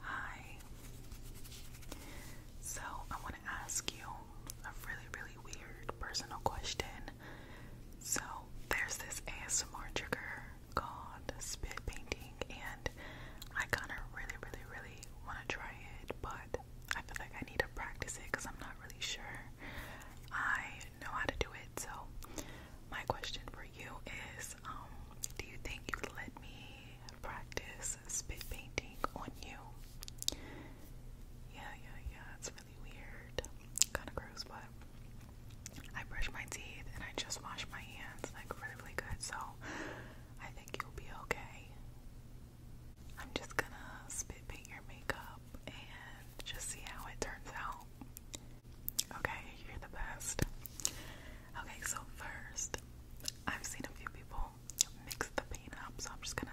Hi. So, I want to ask you a really, really weird personal question. So, there's this ASMR trigger called spit painting, and I kind of really, really, really want to try it, but I feel like I need to practice it because I'm not really sure I know how to do it. So, my question for you is um, do you think you would let me practice spit painting on you? Yeah, yeah, yeah. It's really weird. Kind of gross, but I brush my teeth and I just wash my hands like really, really good. So, I think you'll be okay. I'm just gonna spit paint your makeup and just see how it turns out. Okay, you're the best. Okay, so first, I've seen a few people mix the paint up, so I'm just gonna.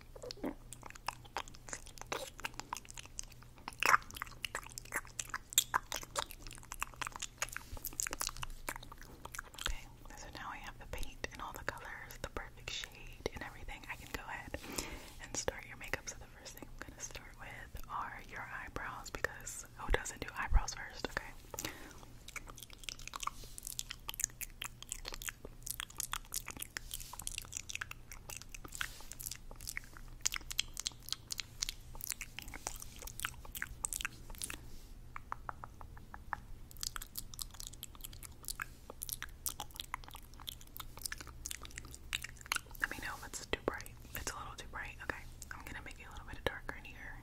Okay, so now I have the paint and all the colors, the perfect shade and everything. I can go ahead and start your makeup. So the first thing I'm gonna start with are your eyebrows because who doesn't do eyebrows first, okay? Let me know if it's too bright. It's a little too bright. Okay, I'm gonna make it a little bit darker in here.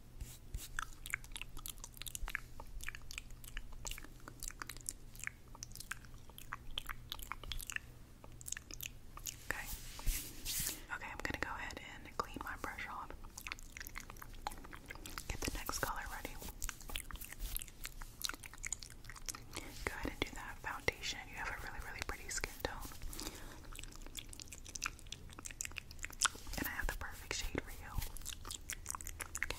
Okay. Okay, I'm going to go ahead and clean my brush off. Get the next color ready. Go ahead and do that foundation. You have a really, really pretty skin tone. And I have the perfect shade for you. Okay.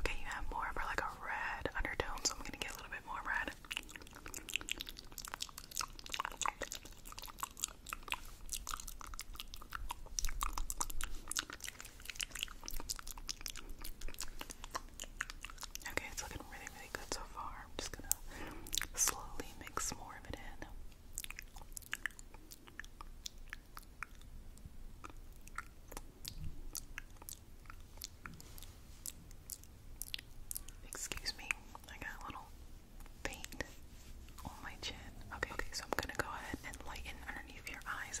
Okay, you have more of like a red undertone, so I'm gonna get a little bit more red. Okay, it's looking really, really good so far. I'm just gonna slowly mix more of it in. Excuse me, I got a little paint on my chin. Okay, okay, so I'm gonna go ahead and lighten underneath your eyes.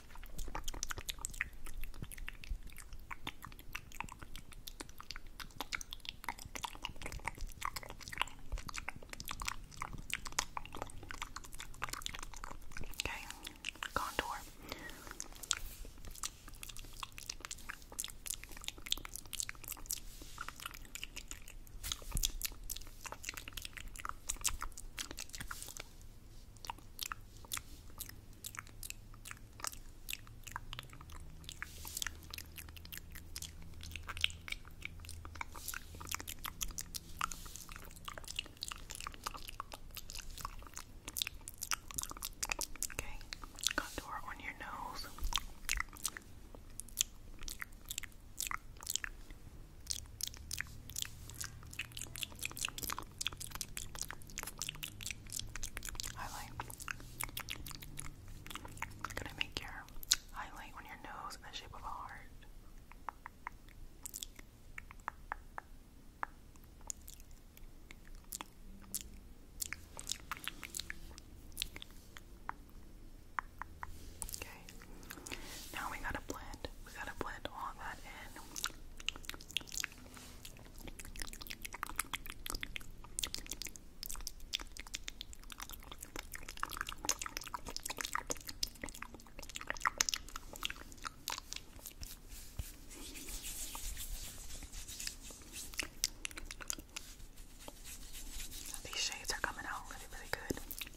Okay, contour. Okay. Okay, contour on your nose. Highlight. Gonna make your highlight on your nose in the shape of a heart. Okay. Now we gotta blend we gotta blend all that in. These shades are coming out really, really good.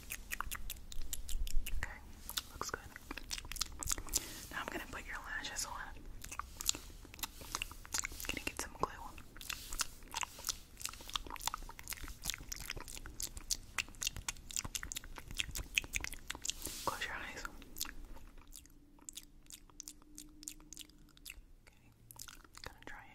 Okay, looks good. Now I'm gonna put your lashes on. gonna get some glue. Close your eyes. Okay. Gonna dry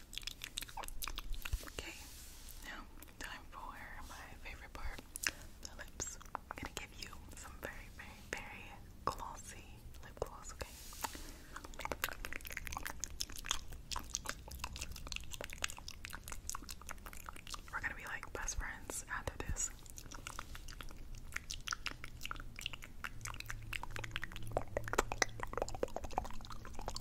Okay, now time for my favorite part, the lips. I'm gonna give you some very, very, very glossy lip gloss, okay? We're gonna be like best friends after this.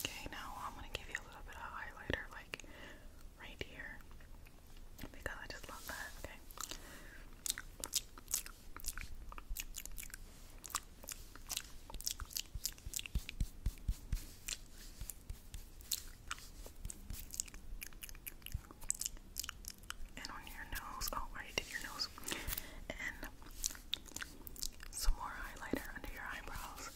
Okay, now I'm going to give you a little bit of highlighter, like right here because I just love that. Okay. And on your nose, oh, your nose. And some more highlighter under your eyebrows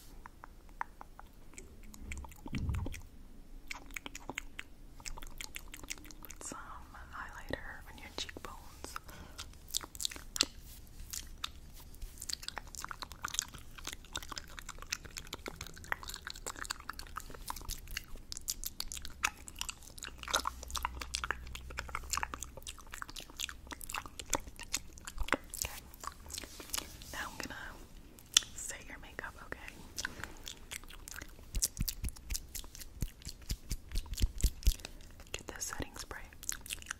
some highlighter on your cheekbones. Okay. Now I'm gonna Say your makeup, okay? Get the setting spray. Okay.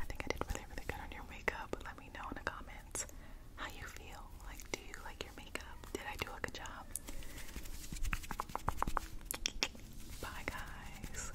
I think I did really, really good on your makeup. Let me know in the comments how you feel. Like, do you like your makeup? Did I do a good job? Bye, guys.